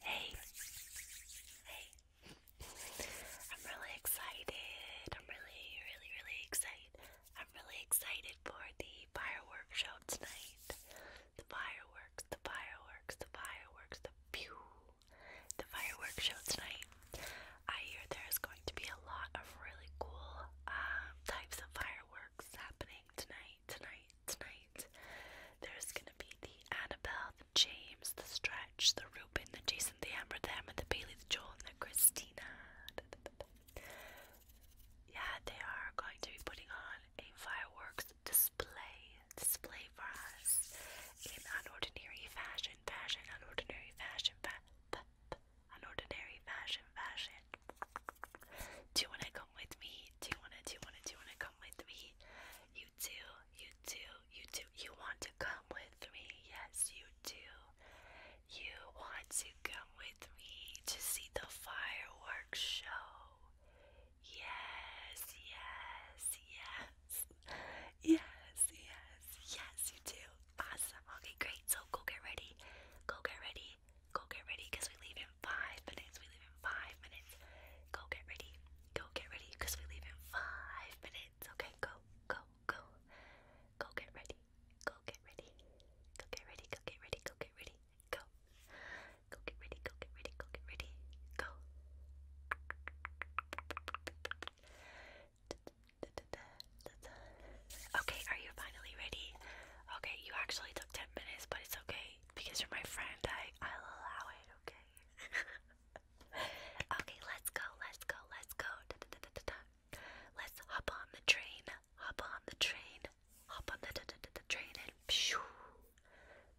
Hey, hey, I'm really excited. I'm really, really, really excited. I'm really excited for the fireworks show tonight. The fireworks, the fireworks, the fireworks, the pew. The fireworks show tonight. I hear there's going to be a lot of really cool um, types of fireworks happening tonight, tonight, tonight. There's gonna be the Annabelle, the James, the Stretch, the Rubin, the Jason, the Amber, the Emma, the Bailey, the Joel, and the Christina. Yeah, they are going to be putting on a fireworks display display for us in unordinary fashion, fashion, unordinary fashion, fa unordinary fashion, fashion. Do you wanna come with me? Do you wanna, do you wanna, do you wanna come with me? You do, you do, you do. You want to come with me? Yes, you do. You want to come with me to see the fireworks show? Yes, yes, yes. Yes, yes, yes, you do. Awesome. Okay, great. So go get ready. Go get ready. Go get ready because we leave in five minutes. We leave in five minutes. Go get ready. Go get ready because we leave in five minutes. Okay, go, go, go. Go get ready ready. Go get ready. Go get ready. Go get ready. Go get ready. Go. Go get ready. Go get ready. Go get ready. Go. Okay, are you finally ready? Okay, you actually took 10 minutes, but it's okay because you're my friend. I, I'll allow it, okay? okay, let's go, let's go, let's go. Da, da, da, da, da. Let's hop on the train hop on the train, hop on the, the, the, the train and pshoo,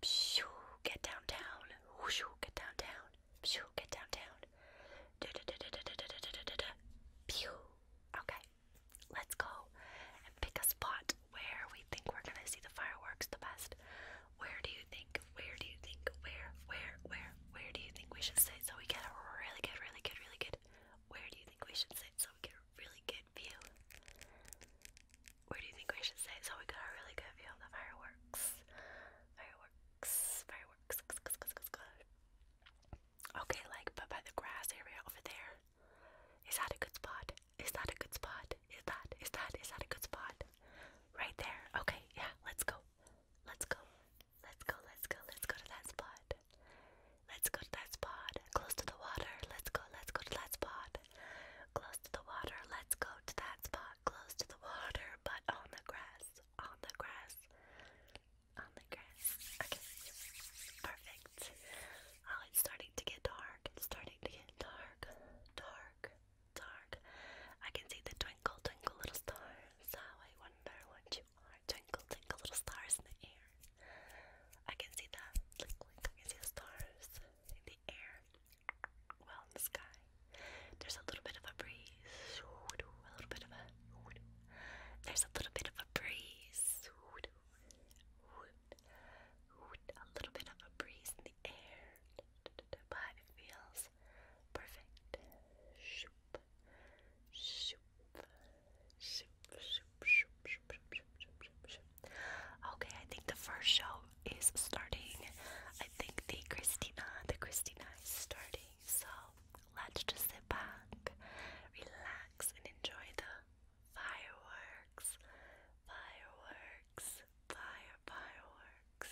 pshoo, get downtown, whooshoo, get downtown, pshoo, get downtown, da da da da da da da da da da, pew. Okay, let's go and pick a spot where we think we're gonna see the fireworks the best. Where do you think? Where do you think? Where, where, where, where do you think we should sit so we get a really good, really good, really good where do you think we should sit so we get a really good view? Where do you think we should sit so we get a really good view of the fireworks? Fireworks, fireworks. Okay, like but by the grass area over there. Is that a good spot? Is that a good spot? Is that is that is that a good spot? Right there. Okay, yeah, let's go. Let's go. Let's go, let's go, let's go to that spot. Let's go to that spot. Close to the water. Let's go, let's go to that spot. Close to the water. Let's go to that spot. Close to the water, but on the grass. On the grass. On the grass. Okay. Perfect. Oh, it's starting to get dark. It's starting to get dark. Dark. Dark. I can see the twinkle, twinkle little stars. How I wonder what you twinkle, twinkle little stars in the air. I can see that. Blink, blink. I can see the stars in the air. Well, in the sky. There's a little bit of a breeze. A little bit of a. There's a little bit of a breeze. A little bit of a breeze in the air. But it feels perfect. Okay, I think the first show is starting. I think the Christina, the Christina is starting. So let's just sit back, relax, and enjoy the fireworks, fireworks, fire, fireworks,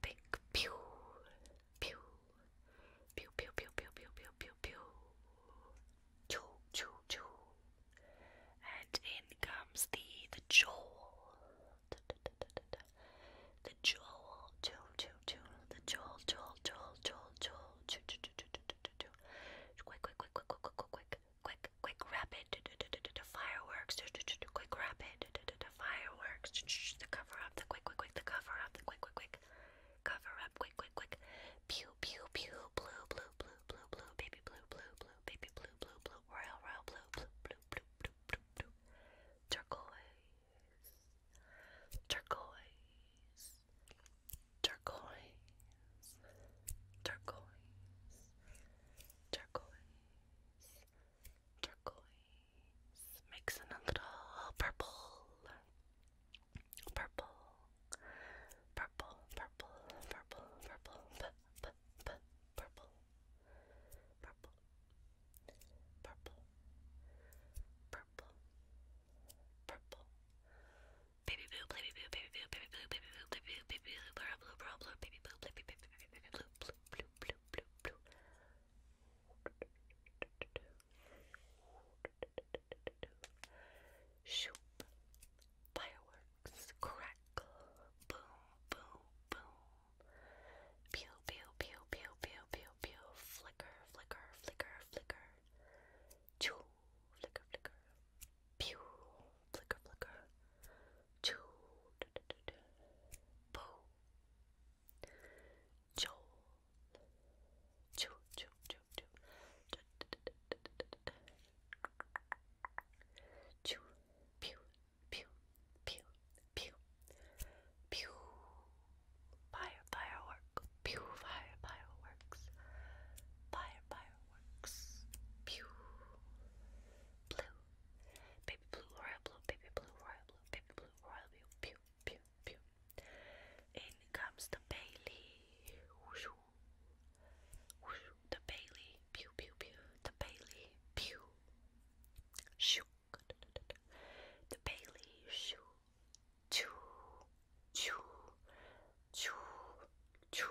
pink. Pew, pew, pew, pew, pew, pew, pew, pew, pew, pew. Choo, choo, choo. And in comes the the jowl. Da, da, da, da, da, da. The jowl, jowl, jowl, jowl. The jowl, jowl, jowl, jowl, jowl. Choo, choo, choo, choo, choo, choo, choo. Quick, quick, quick, quick, quick, quick, quick, quick, quick, rapid. Da, da, da, da, da fireworks. Quick rapid. Fireworks. The cover up. The quick, quick, quick. The cover up. The quick, quick, quick. Cover up. Quick, quick, quick. Pew, pew, pew. Blue, blue, blue, blue, blue. Baby blue, blue, blue. Baby blue, blue, blue. Royal, royal blue, blue, blue, blue, blue, blue, blue. Turquoise. Turquoise. Turquoise. Turquoise. Turquoise. Turquoise. Mix in a little purple, purple, purple, purple, purple, purple, purple, purple, purple, purple, purple, purple, purple. Baby blue, baby blue, baby blue, baby blue, baby blue, baby blue, baby blue, baby blue, baby blue, baby blue, baby blue, baby blue, baby blue, blue, blue, blue, blue, blue. Shoop. Fireworks. Crackle. Boom, boom, boom. Pew, pew, pew, pew, pew, pew, pew. Flicker, flicker, flicker, flicker. Choo. Flicker, flicker. Pew. Flicker, flicker. Joel, Bo, Joel, Joel, Joel, Joel, Joel, Pew, Pew, Pew, Pew, Pew, Fire, Firework, Pew, Fire, Fireworks, Fire, Fireworks, Pew, Blue, Baby blue, royal blue, baby blue, royal blue, baby blue, royal blue, pew, pew, pew. In comes the Bailey. Whoosh, whoosh, the Bailey, pew, pew, pew, the Bailey, pew. Shoo, the Bailey, shoo, choo, choo, choo, choo,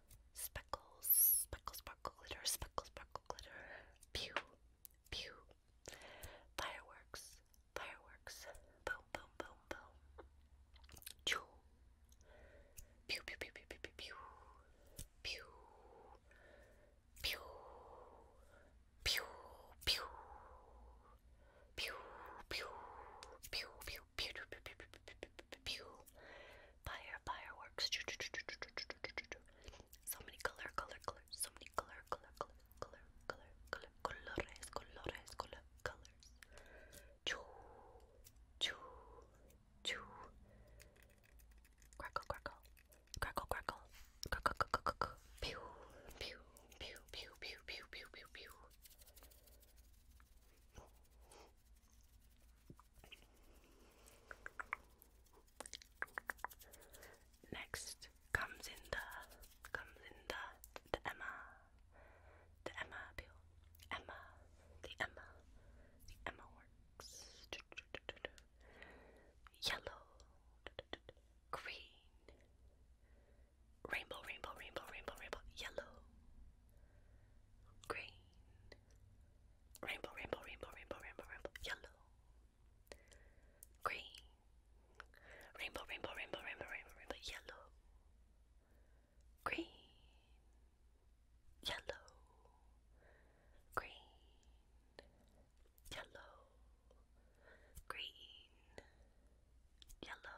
Speckles, speckle, sparkle, glitter, speckle, sparkle, glitter. Pew, pew. Fireworks, fireworks. Boom, boom, boom, boom. Pew, pew, pew, pew, pew, pew, pew. Pew, pew, pew, pew, pew, pew, pew, pew, pew, Fire, fireworks. So many color, color, color. So many color, color, color, color, color, color, colores, colores, colors. Choo, choo, choo. Crackle, crackle, crackle, crackle, crackle, crackle, crackle. Pew, pew, pew, pew, pew, pew, pew, pew, pew. Next comes in the comes in the the Emma the Emma appeal. Emma the Emma the Emma works yellow green rainbow rainbow rainbow rainbow rainbow yellow green, rainbow, rainbow, rainbow, rainbow, rainbow, rainbow, yellow, green, rainbow, rainbow, rainbow, rainbow, rainbow, rainbow, yellow, green, yellow, green, yellow, green, yellow.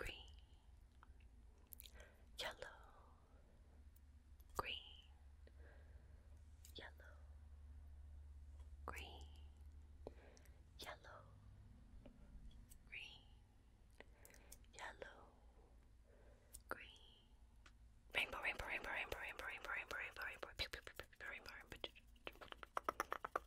green, yellow, green, yellow, green, yellow, green, yellow, green, rainbow, rainbow, rainbow, rainbow, rainbow, rainbow, rainbow, rainbow, rainbow, rainbow, rainbow,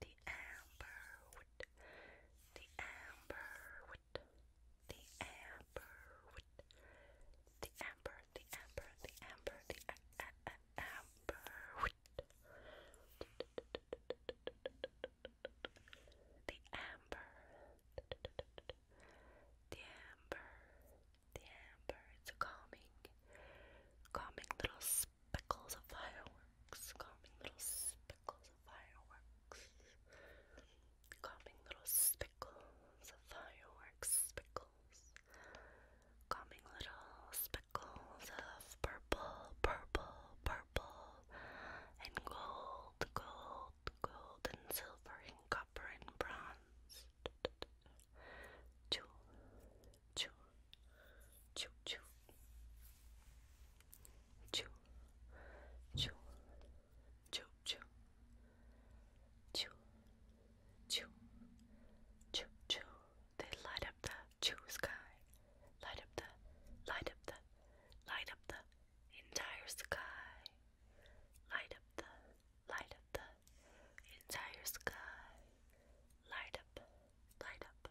the amber wood, the amber the amber the amber, the amber, the amber, the amber wood, the amber, the amber, the amber. It's a calming, calming little speckles of fireworks, calming little speckles of fireworks, calming little speckles of fireworks, speckles, calming little speckles of purple, purple, purple, and gold, gold, gold, and silver, and copper, and bronze. Choo, choo, Choo choo. Choo. Choo. Choo choo. Choo. Choo. Choo choo. They light up the choo sky. Light up the light up the light up the entire sky. Light up the light up the entire sky. Light up, light up,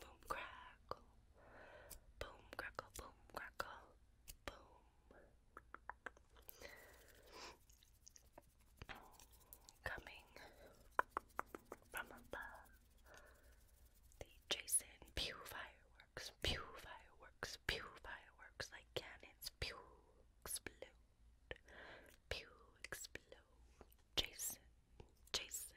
boom, crackle. Boom, crackle, boom, crackle. Boom. Coming from above. The Jason Pew fireworks, pew fireworks, pew fireworks like cannons, pew explode, pew explode. Jason, Jason,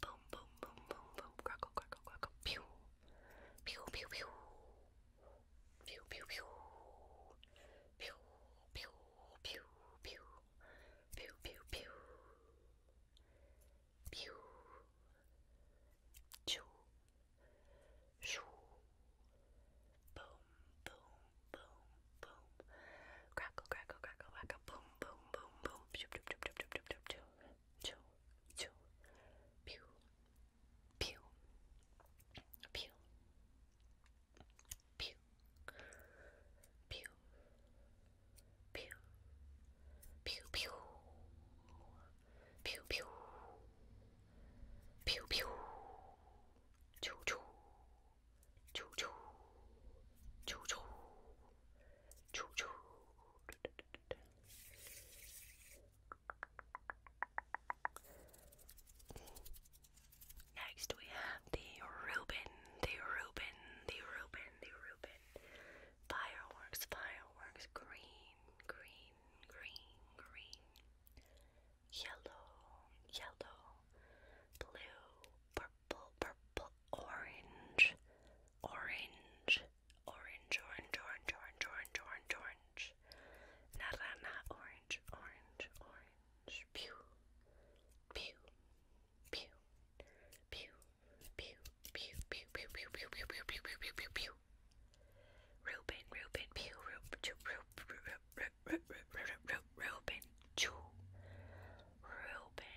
Boom, boom, boom, boom, boom. Crackle, crackle, crackle. Pew. Pew, pew, pew. Pew, pew, pew. Pew, pew, pew, pew. Pew, pew, pew. Pew. Choo. Shoo. Boom, boom, boom, boom. Crackle, crackle, crackle, crackle. Boom, boom, boom, boom. Shoop, shoop, shoop, shoop, shoop, shoop, shoop choo, choo, pew, pew, pew, pew, pew, pew, pew, pew, pew, pew, pew, pew, choo, choo, choo, choo, choo, choo, Next we have the Reuben, the Reuben, the Reuben, the Reuben. Fireworks, fireworks, green, green, green, green. Yellow, yellow, blue, purple, purple, orange, orange, orange, orange, orange, orange, orange, orange, orange, naranja, orange, orange, orange, pew, pew, pew, pew, pew, pew, pew, pew, pew, pew, pew, pew, pew, pew, pew, pew, pew, Reuben, Reuben, pew, Reuben, chew, Reuben, Reuben, chew, Reuben,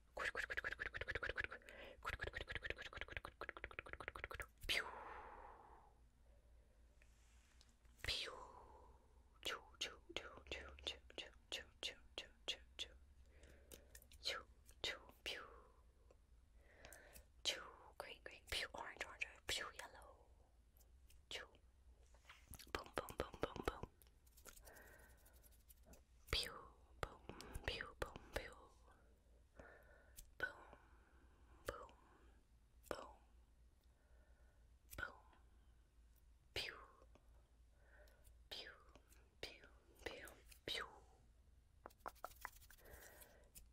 Pew. Pew. Choo choo choo choo choo choo choo choo choo choo choo. Choo choo pew. Choo green green pew orange orange pew yellow. Choo. Boom boom boom boom boom Pew, boom, pew, boom, pew. Boom, boom, boom, boom. Pew, pew, pew, pew, pew.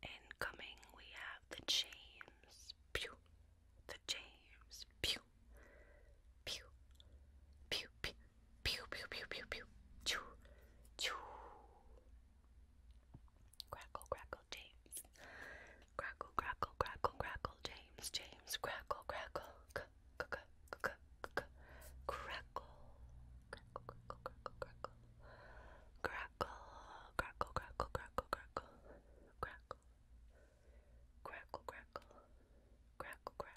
Incoming, we have the James. Pew, the James. Pew, pew, pew, pew, Pew pew pew pew pew. Choo choo. Crackle crackle James. Crackle crackle crackle crackle James James. Crackle crackle c c c c c crackle. Crackle crackle crackle crackle. Crackle crackle crackle crackle crackle. Crackle. Crackle crackle. Crackle crackle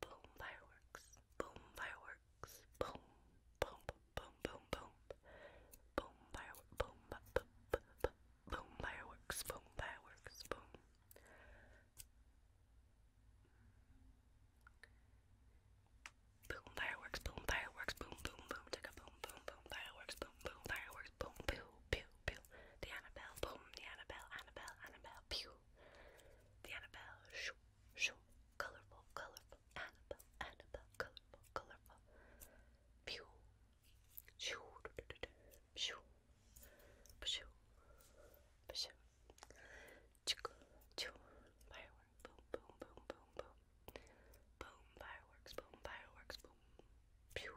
boom fireworks, boom fireworks, boom, boom, boom, boom, boom, boom fireworks, boom, boom, boom, boom fireworks, boom fireworks, boom. Boom fireworks, boom fireworks, boom boom boom, take a boom boom boom fireworks, boom boom fireworks, boom pew pew pew. The Annabelle, boom, the Annabelle, Annabelle, Annabelle, pew the Annabelle, shoo, shoo, colorful, colorful, Annabelle, Annabelle, colorful, colorful. Pew, shoo, doo shoo, shoo, shoo, chick, choo, fireworks, boom, boom, boom, boom, boom, boom, fireworks, boom, fireworks, boom, pew,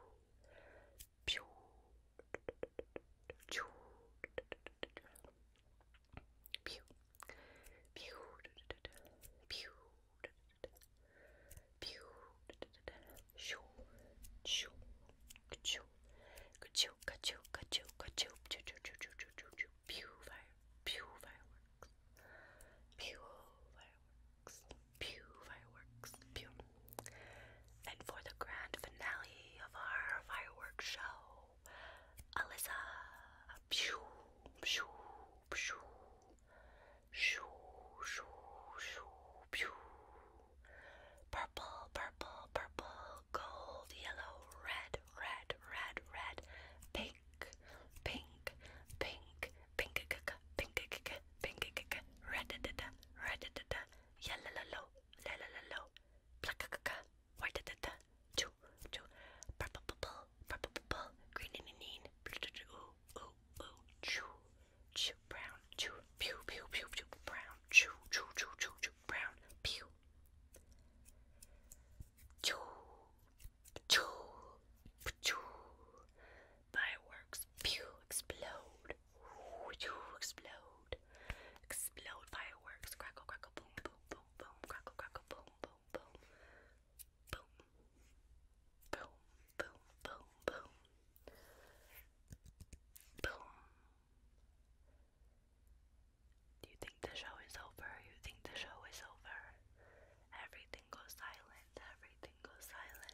pew fireworks, pew and for the grand finale of our fireworks show, Alyssa, Purple, purple, purple, gold, yellow, red, red, red, red, pink, pink, pink, pink, pink, pink, pink, red, red, yellow, yellow, yellow, two, two, purple, purple, purple, purple, green, green, ooh, ooh, ooh, chew, chew, brown, chew, pew, pew, pew, pew, brown, chew, chew, chew, chew, chew, brown, pew, chew, chew, chew, fireworks, pew, explode, explode, explode fireworks, crackle, crackle, boom, boom, boom, boom, crackle, crackle, boom, boom, boom, boom, boom, boom, boom, boom, boom. Do you think the show is over? You think the show is over? Everything goes silent. Everything goes silent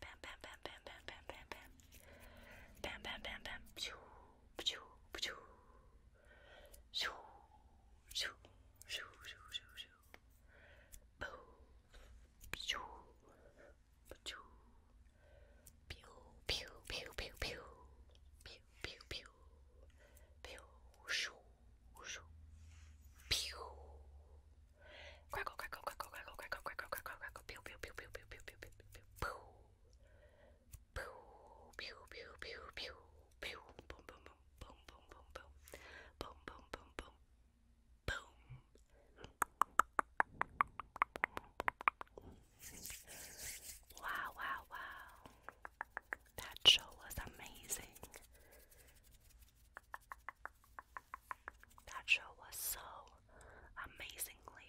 Bam bam bam bam bam bam bam bam. Bam bam bam bam. Shoo shoo shoo. Shoo shoo shoo shoo shoo shoo. Boo. Shoo. Shoo. Pew pew pew pew pew. Pew pew pew. Pew shoo shoo. Pew. Wow, wow, wow. That show was amazing. That show was so amazingly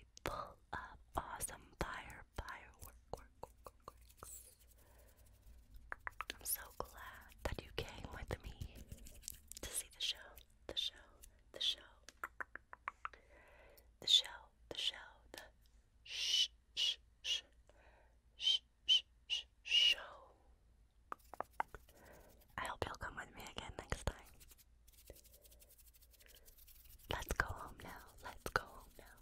awesome fire, firework, I'm so glad that you came with me to see the show, the show, the show, the show, the show, the sh sh sh sh sh show. I hope you'll come with me again next time. Let's go home now. Let's go now.